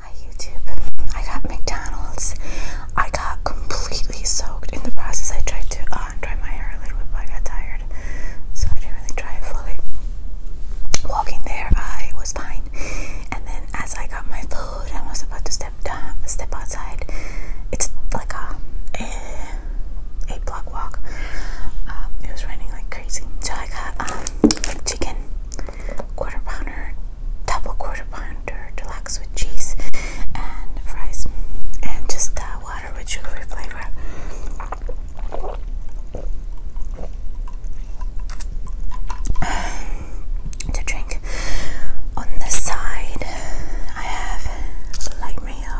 Hi YouTube. I got McDonald's. I got completely soaked in the process. I tried to uh, dry my hair a little bit, but I got tired, so I didn't really dry it fully. Walking there, I was fine, and then as I got my food, I was about to step down, step outside. It's like a eh, eight block walk. Um, it was raining like so I got um, chicken quarter pounder, double quarter pounder, deluxe with cheese and fries, and just water with sugary flavor. Um, to drink. On the side, I have light mayo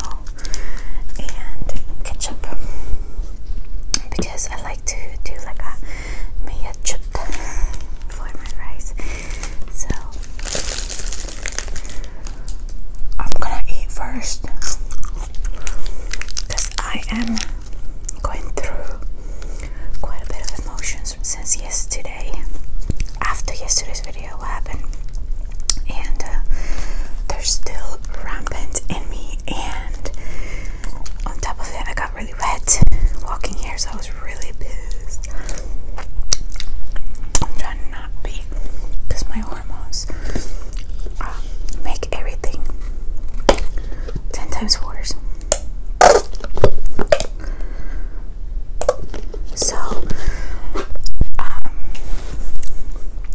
and ketchup because I like to do like a mea chup for my rice. So I'm gonna eat first because I am going through quite a bit of emotions since yesterday. After yesterday's video, happened? And uh, they're still rampant in me, and on top of it, I got really wet walking here, so I was really pissed. I'm trying to be because my hormones um, make everything 10 times worse. So, um,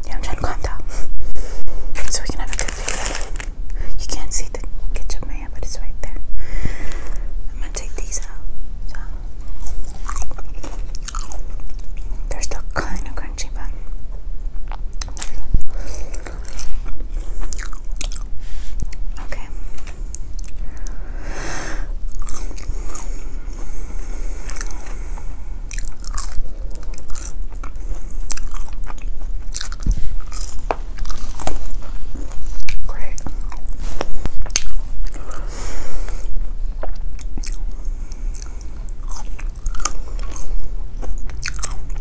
yeah, I'm trying to calm down so we can have a good video. You can't see the ketchup man, but it's right there. I'm gonna take these out. They're still kind of crunchy, but. Okay. Great.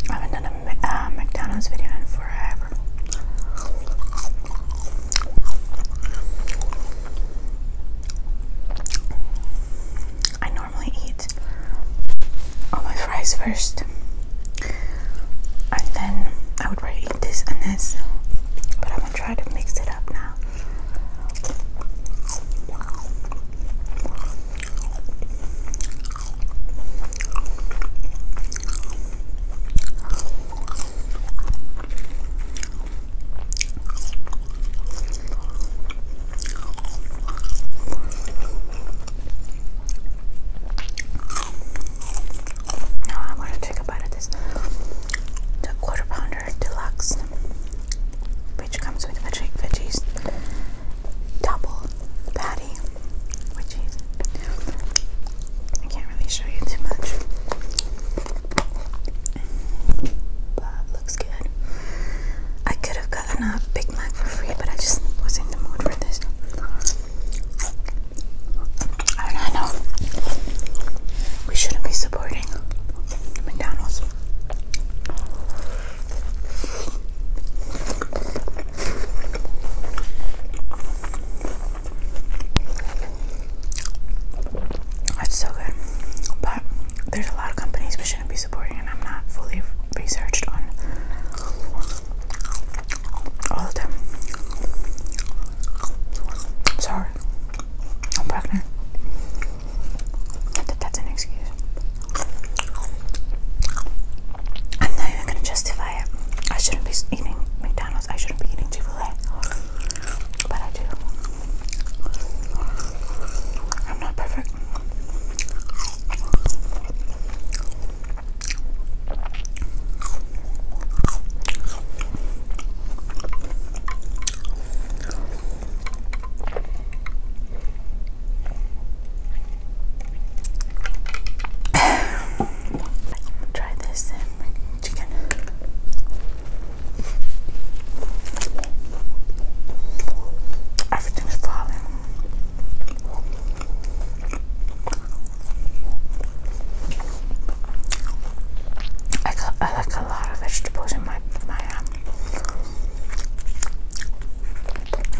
I haven't done a uh, McDonald's video in forever. I normally eat all my fries first, and then I would rather eat this and this. But I'm gonna try to mix it up now. Now I want to take a bite of this. The quarter pounder deluxe, which comes with veggie, veggies, double patty with cheese. I can't really show you too much, but looks good. I could have got got another uh, Big Mac for free, but I just was in the mood for this. I know we shouldn't be supporting McDonald's. That's so good, but there's a lot of companies we shouldn't be supporting and I'm not fully researched on all of them. sorry. I'm pregnant. that's an excuse. I'm not even gonna justify it. I shouldn't be eating McDonald's. I shouldn't be eating Chick-fil-A. But I do. I'm not perfect. Try this um, chicken. Everything falling. I, like a lot of vegetables in my my um,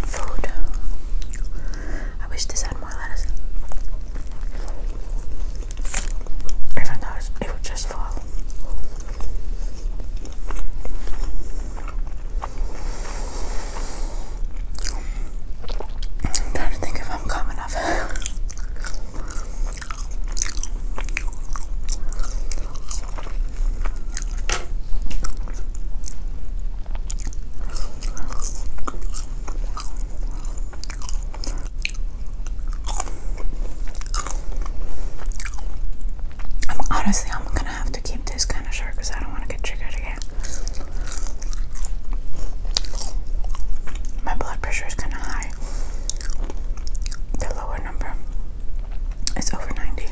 food. I wish this had more lettuce. Even though it would just fall. I'm trying to think if I'm calm enough. I'm honestly, i gonna have to keep this kind of short because I don't want to get triggered again. My blood pressure is kind of high. The lower number is over 90,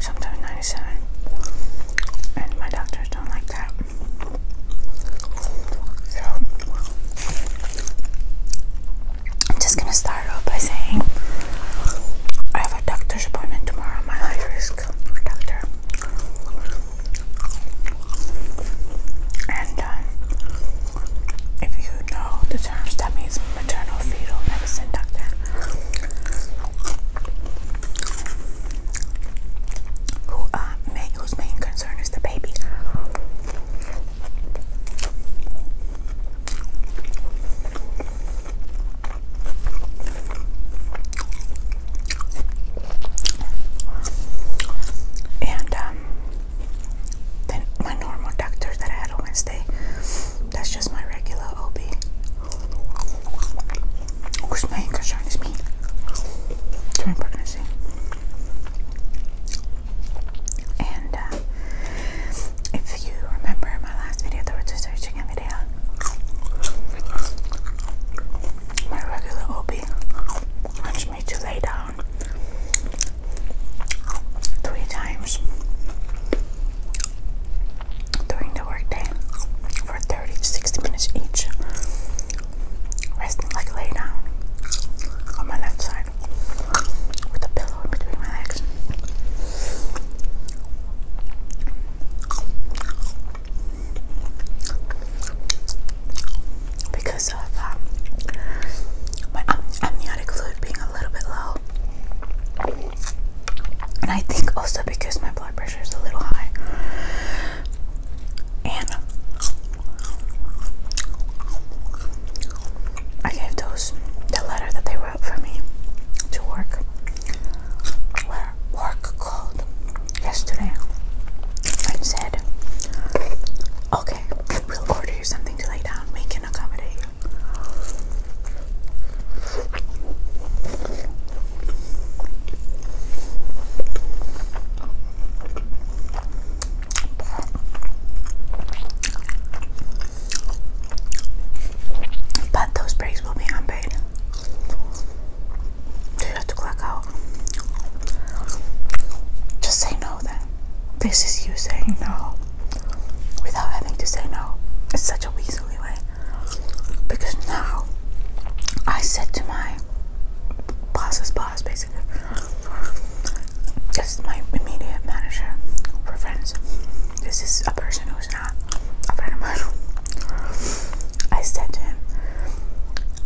sometimes 97, and my doctors don't like that. I'm just gonna start off by saying I have a doctor's appointment tomorrow. My high risk doctor, and um, if you know the terms, that means maternal fetal medicine doctor. Who uh, whose main concern is the baby. And um, then my normal doctor that I had on Wednesday, that's just my regular OB. Of my concern me during pregnancy. And uh, if you remember in my last video, there was a search chicken video. My regular OB wants me to lay down three times during the workday for 30 to 60 minutes each, resting like lay down on my left side with a pillow in between my legs because of um, my amniotic fluid being a little bit low. And I think also because my blood pressure is a little high. And I gave those the letter that they for me to work where work called yesterday and said, Okay, we'll order you something to lay down, we can accommodate you. But those breaks will be unpaid. So you have to clock out. Just say no then. This is you saying no without having to say no. It's such a weaselly way. Because now I said to my boss's boss basically. This is my immediate manager for friends. This is a person who's a friend of mine. I said to him,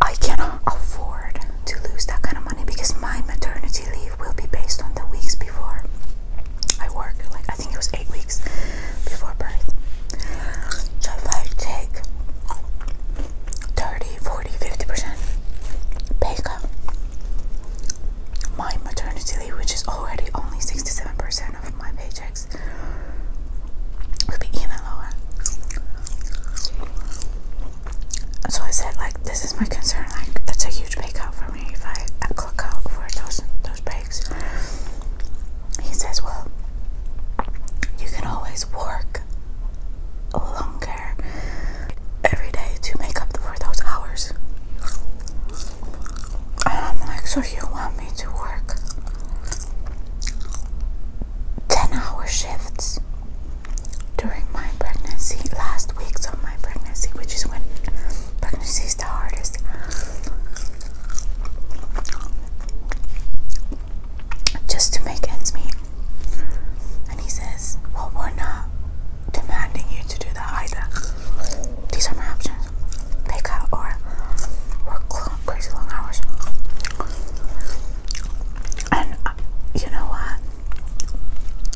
I cannot afford to lose that kind of money because my maternity leave will be based on the weeks before I work. Like, I think it was eight weeks before birth. if I take 30, 40, 50% pay cut, my maternity leave, which is already only 67% of my paychecks, will be even lower. So I said, like, this is my concern. Like, that's a huge pay cut for me if I clock out for those those breaks. He says, well, you can always work longer every day to make up for those hours. I'm um, like, so you want me to work 10 hour shifts during my pregnancy, last week? So my pregnancy, which is when pregnancy is the hardest. Just to make ends meet. And he says, Well, we're not demanding you to do that either. These are my options. Pick out or work crazy long hours. And uh, you know what?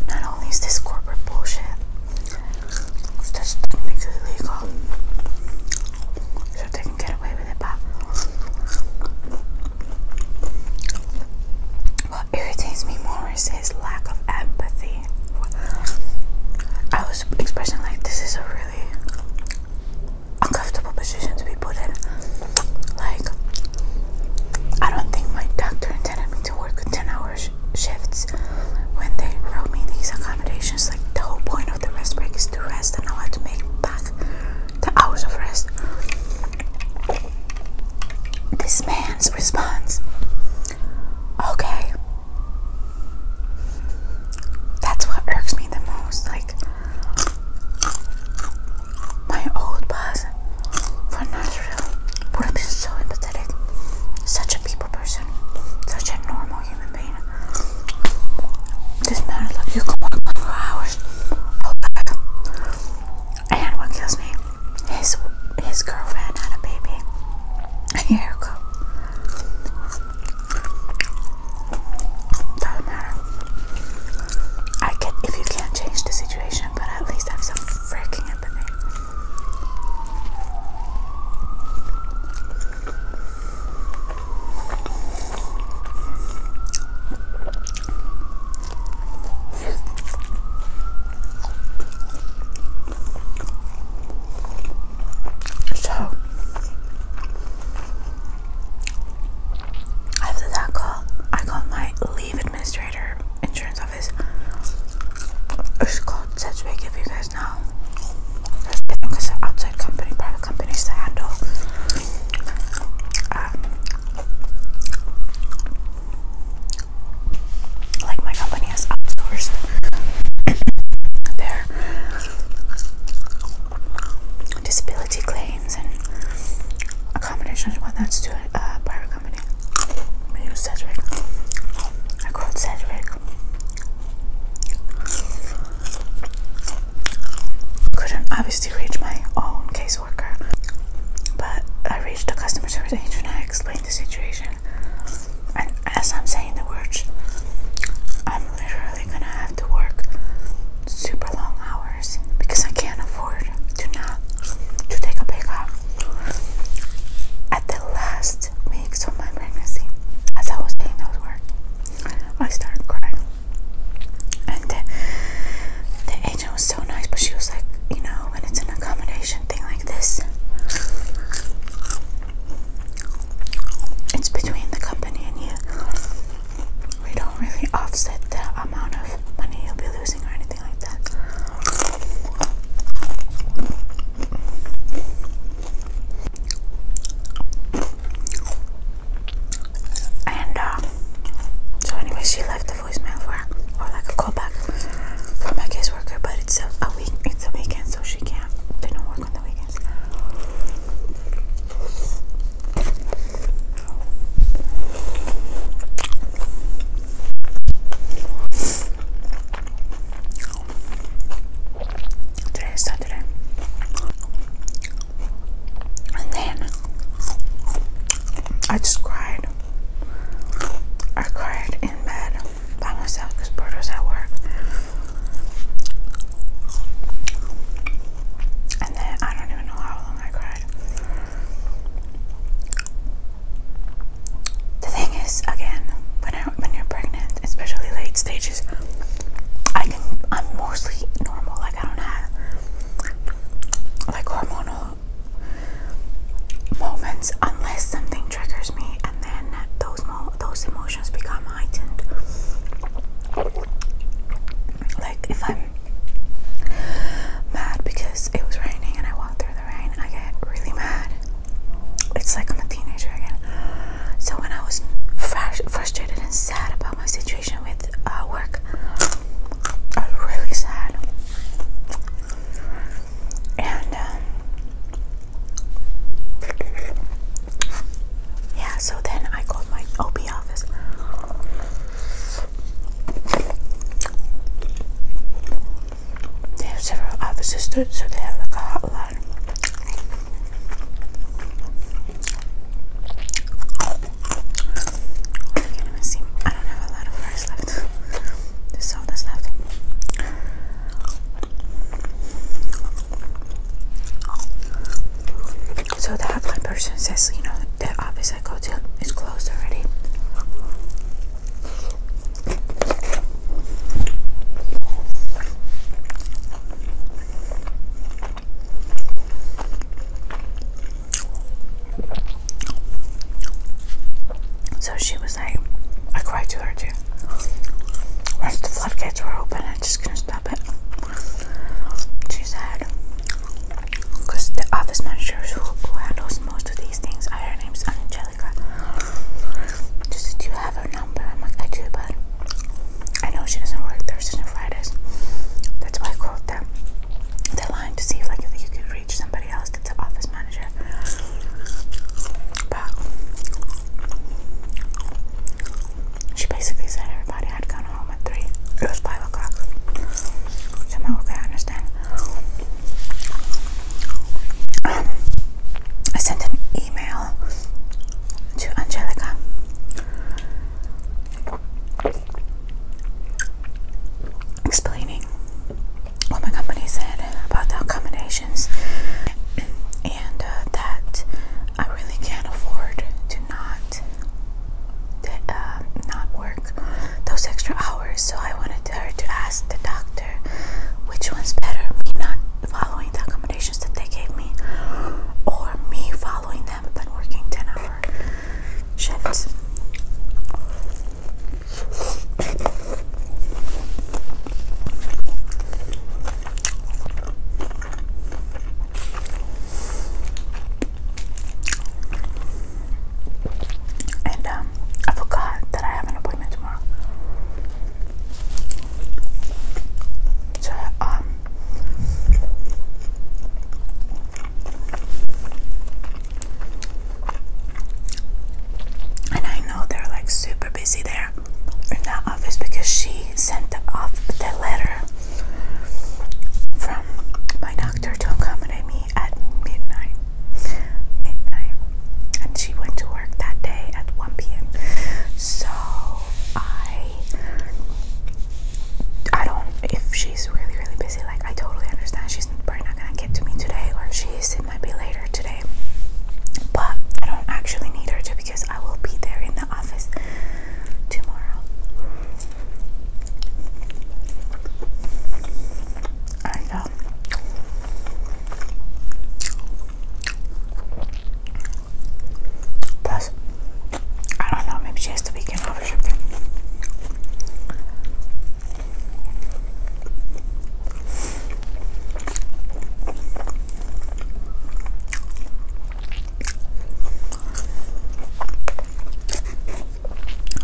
Not only is this corporate bullshit, just technically legal. So they can get away with it, but what irritates me more is his lack of empathy. I was expressing like this is a really uncomfortable position to be put in. Like I don't think my doctor intended me to work 10 hour shifts when they wrote me these accommodations. Like the whole point of the rest break is to rest and I had to make back the hours of rest. This man's response Okay. That's what irks me the most. Like, my old boss from Nashville would have been so empathetic. Such a people person, such a normal human being. This man is like, you can work for hours. Okay. And what kills me, his his girlfriend had a baby. Here you go. Doesn't matter. I can if you can't change the situation, but at least have some freaking empathy. So after that call, I called my leave administrator insurance office. It's called Sedgwick if you guys know. There's different because outside company, private companies to handle. Um, like my company has outsourced their disability claims and accommodations and whatnot to a uh, private company. I use Cedric. I called Cedric. Couldn't obviously reach my own caseworker, but I reached the customer service agent and I explained the situation and as I'm saying the words, I'm literally gonna have to work super long hours because I can't afford to not to take a break cut. At the last weeks of my pregnancy, as I was saying those words, I started crying. And the agent was so nice, but she was like, you know, when it's an accommodation thing like this, it's between the company and you. We don't really offset the amount of money you'll be losing or anything like that. And um, so, anyway, she left the voicemail for, or like a callback for my caseworker, but it's a, week, it's a weekend, so she can't. They not work on the weekends. Today is And then I just cried. I cried in bed by myself because Berto's at work. And then I don't even know how long I cried. The thing is, again, when I, when you're pregnant, especially late stages, I can I'm mostly normal. Like I don't have like hormonal moments unless something triggers me, then those mo those emotions become heightened. Like if I'm mad because it was raining and I walked through the rain, I get really mad. It's like I'm a teenager again. So when I was frustrated and sad about my situation with uh, work, I was really sad. And um, yeah, so then I called my OP office. They have several offices too, so they have like a hotline. I can't even see. I don't have a lot of rice left. There's all that's left. So the hotline person says, you know, the office I go to is closed already. So she was like, I cried too her too. Once the floodgates were open, I'm just gonna stop it. She said, because the office manager who, handles most of these things, her name's Angelica. She Do you have her number? i do, but I know she doesn't work Thursdays and Fridays. That's why I called them. The line to see if like you could reach somebody else that's an office manager. But she basically said everybody had gone home at 3. It was 5 o'clock. So I'm okay, I understand. I sent an email to Angelica. Explaining Oh what my company said about the accommodations and uh, that I really can't afford to not um, not work those extra hours so I wanted her to ask the doctor which one's better me not following the accommodations that they gave me or me following them but working 10 hours. shifts and um, I forgot that I have an appointment tomorrow. So, um, and I know they're like super busy there in that office because she sent off the letter from my doctor to accommodate me at midnight. Midnight. And she went to work that day at 1 p.m. So I I don't if she's really really busy like I totally understand she's probably not gonna get to me today or if she is might be later today. But I don't actually need her to because I will be there in the office tomorrow. Plus, I don't know, maybe she has the weekend off or something.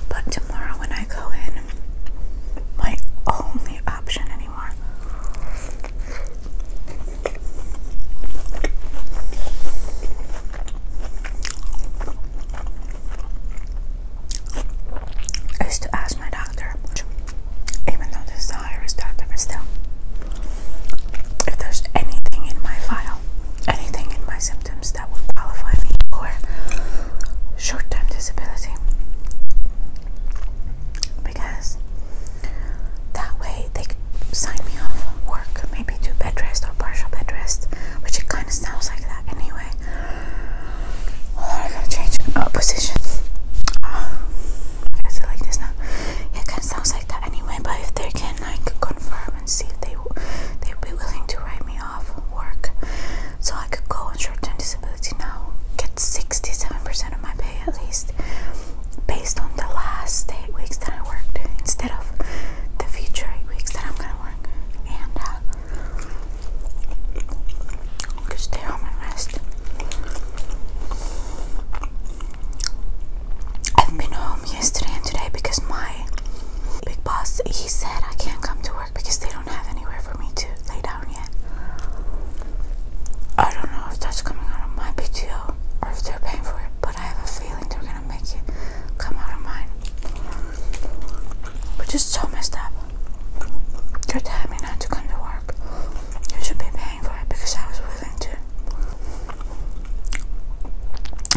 But tomorrow, when I go in, my only option anymore is to ask my doctor even though this is doctor, but still, if there's anything in my file, anything in my symptoms that would qualify me for short term disability, because that way they could sign me off work, maybe do bed rest or partial bed rest, which it kind of sounds like that anyway. I'm gonna change uh, position. Uh, is it like this now? it kind of sounds like that anyway. But if they can like confirm and see if they they'd be willing to write me off work, so I could go on short-term disability now, get sixty-seven percent of my pay at least, based on the last eight weeks that I worked, instead of the future eight weeks that I'm gonna work, and. Uh, I'm going stay on my rest. I've been home yesterday and today because my big boss he said I can't come to work because they don't have anywhere for me to lay down yet. I don't know if that's coming out of my PTO or if they're paying for it, but I have a feeling they're gonna make it come out of mine. Which is so messed up. They're telling me not to come to work you should be paying for it because I was willing to.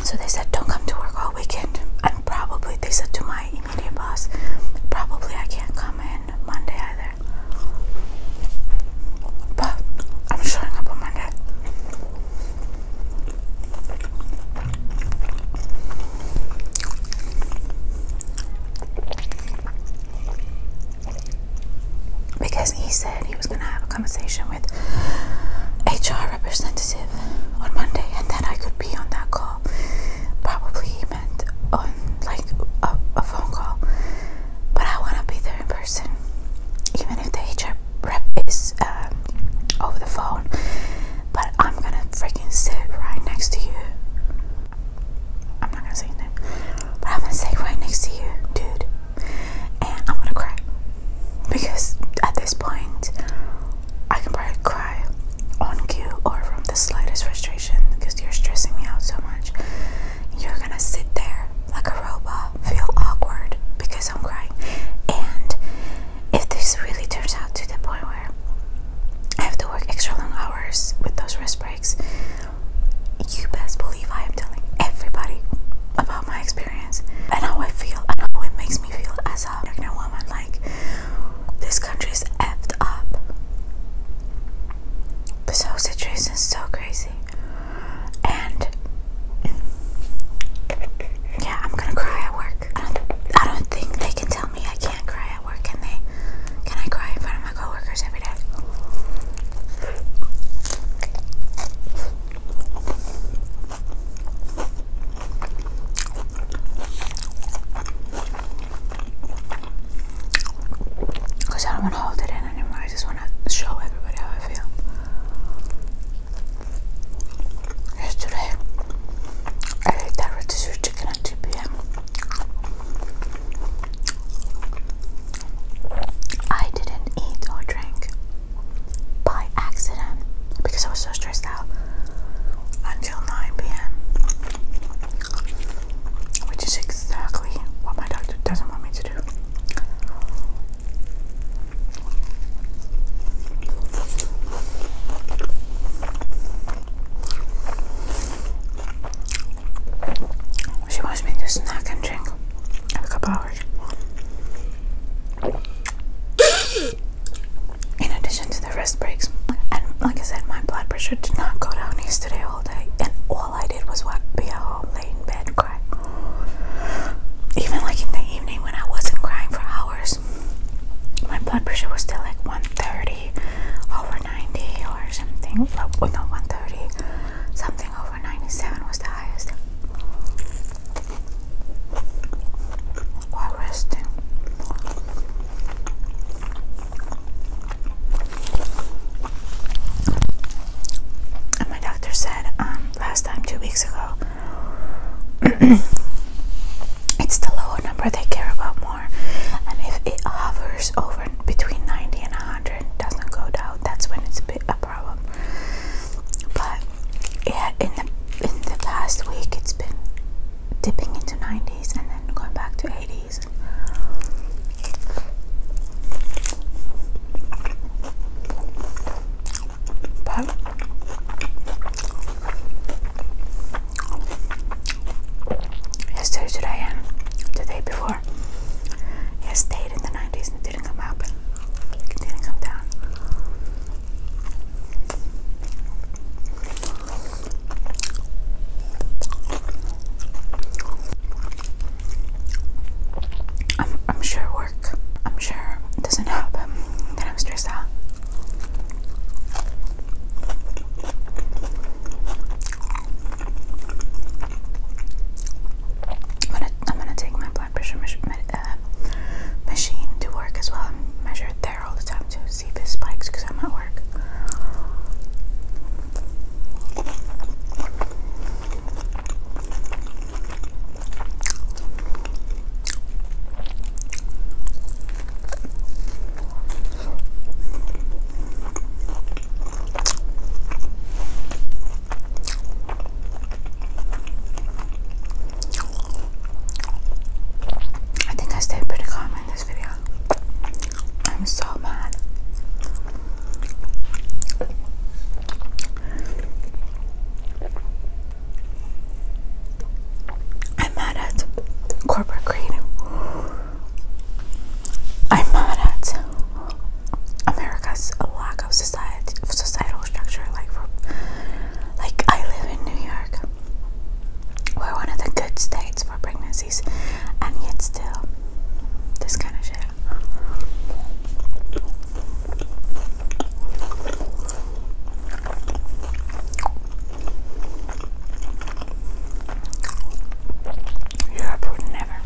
So they said, Don't come to work all weekend. probably, they said to my immediate boss, Probably I can't come in Monday either. But I'm showing up on Monday because he said he was going to have a conversation with HR representative on Monday and then I could be on that call. Probably he meant on like a, phone call, but I want to be there in person, even if the HR rep is um, over the phone. But I'm gonna freaking sit right next to you I'm not gonna say his but I'm gonna say right next to you, dude. And I'm gonna cry because at this point, I can probably cry on cue or from the slightest frustration because you're stressing me out so much. You're gonna sit there like a robot, feel awkward because I'm crying. And if this really turns out to the point where I have to work extra long hours with those rest breaks, you best believe I am telling everybody about my experience and how I feel and how it makes me feel as a pregnant woman. Like, this country is effed up. This whole situation is so crazy. And yeah, I'm gonna cry at work. I don't think they can tell me I can't cry can I cry in front of my coworkers every day? Because I don't want to hold it in anymore. I just want to show everybody how I feel. Yesterday, I ate that rotisserie chicken at 2 p.m. I didn't eat or drink by accident because I was so stressed out until 9 p.m. Which is exactly what my doctor doesn't want me to do. She wants me to snack and drink in a couple hours. In addition to the rest breaks, and like I said, my blood pressure did not go down yesterday all day, and all I did was what be at home, lay in bed, cry. Even like in the evening when I wasn't crying for hours, my blood pressure was still like 130 over 90 or something. Well, oh, 130. Something over 97 was the highest. While resting. And my doctor said um, last time, two weeks ago, it's the lower number they care about more and if it hovers over between 90 and 100 doesn't go down that's when it's a bit a problem but yeah in the in the past week it's been dipping into 90s and then going back to 80s but yesterday, today, and the day before. It stayed in the 90s and didn't come up, didn't come down. I'm, I'm sure work, I'm sure doesn't help that I'm stressed out. I'm gonna, take my blood pressure uh, machine to work as well and measure it there all the time to see if it spikes because I'm at work. I think I stayed pretty calm in this video. I'm so mad. I'm mad at corporate creative. I'm mad at America's lack of society, societal structure. Like, like I live in New York. We're one of the good states for pregnancies, and yet still, this kind of shit. Europe would never,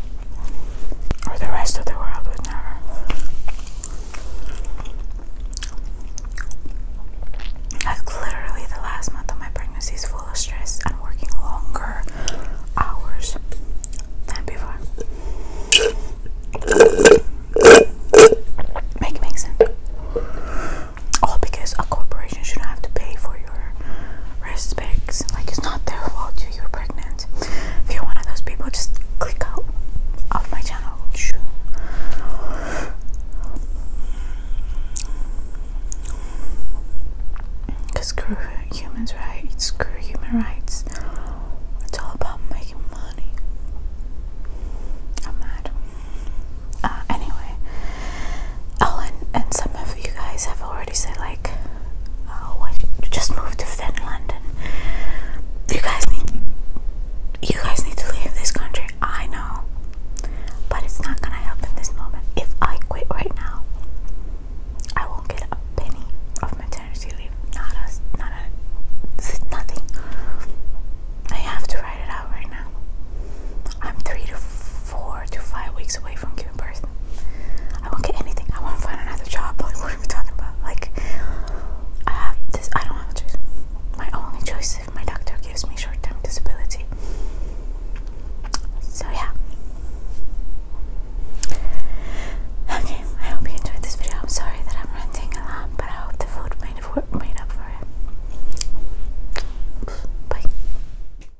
or the rest of the world would never. Like literally, the last month of my pregnancy is full of stress and working longer hours than before. Make it sense. All because a corporation should have to pay for your respects. Like it's not their fault you are pregnant. If you're one of those people, just click out of my channel. Cause screw humans rights, screw human rights. It's all about making money. I'm mad. Uh, anyway, Oh, and, some of you guys have already said, like, oh, I just moved to Finland, you guys need, you guys need to leave this country. I know, but it's not gonna help in this moment. If I quit right now, I won't get a penny of maternity leave. Not a, not a, nothing. I have to write it out right now. I'm three to four to five weeks away from quitting you I won't get anything. I won't find another job. what are we talking about? Like, I have this. I don't have a choice. My only choice if my doctor gives me short-term disability. So yeah. Okay, I hope you enjoyed this video. I'm sorry that I'm ranting a lot, but I hope the food made, made up for it. Bye.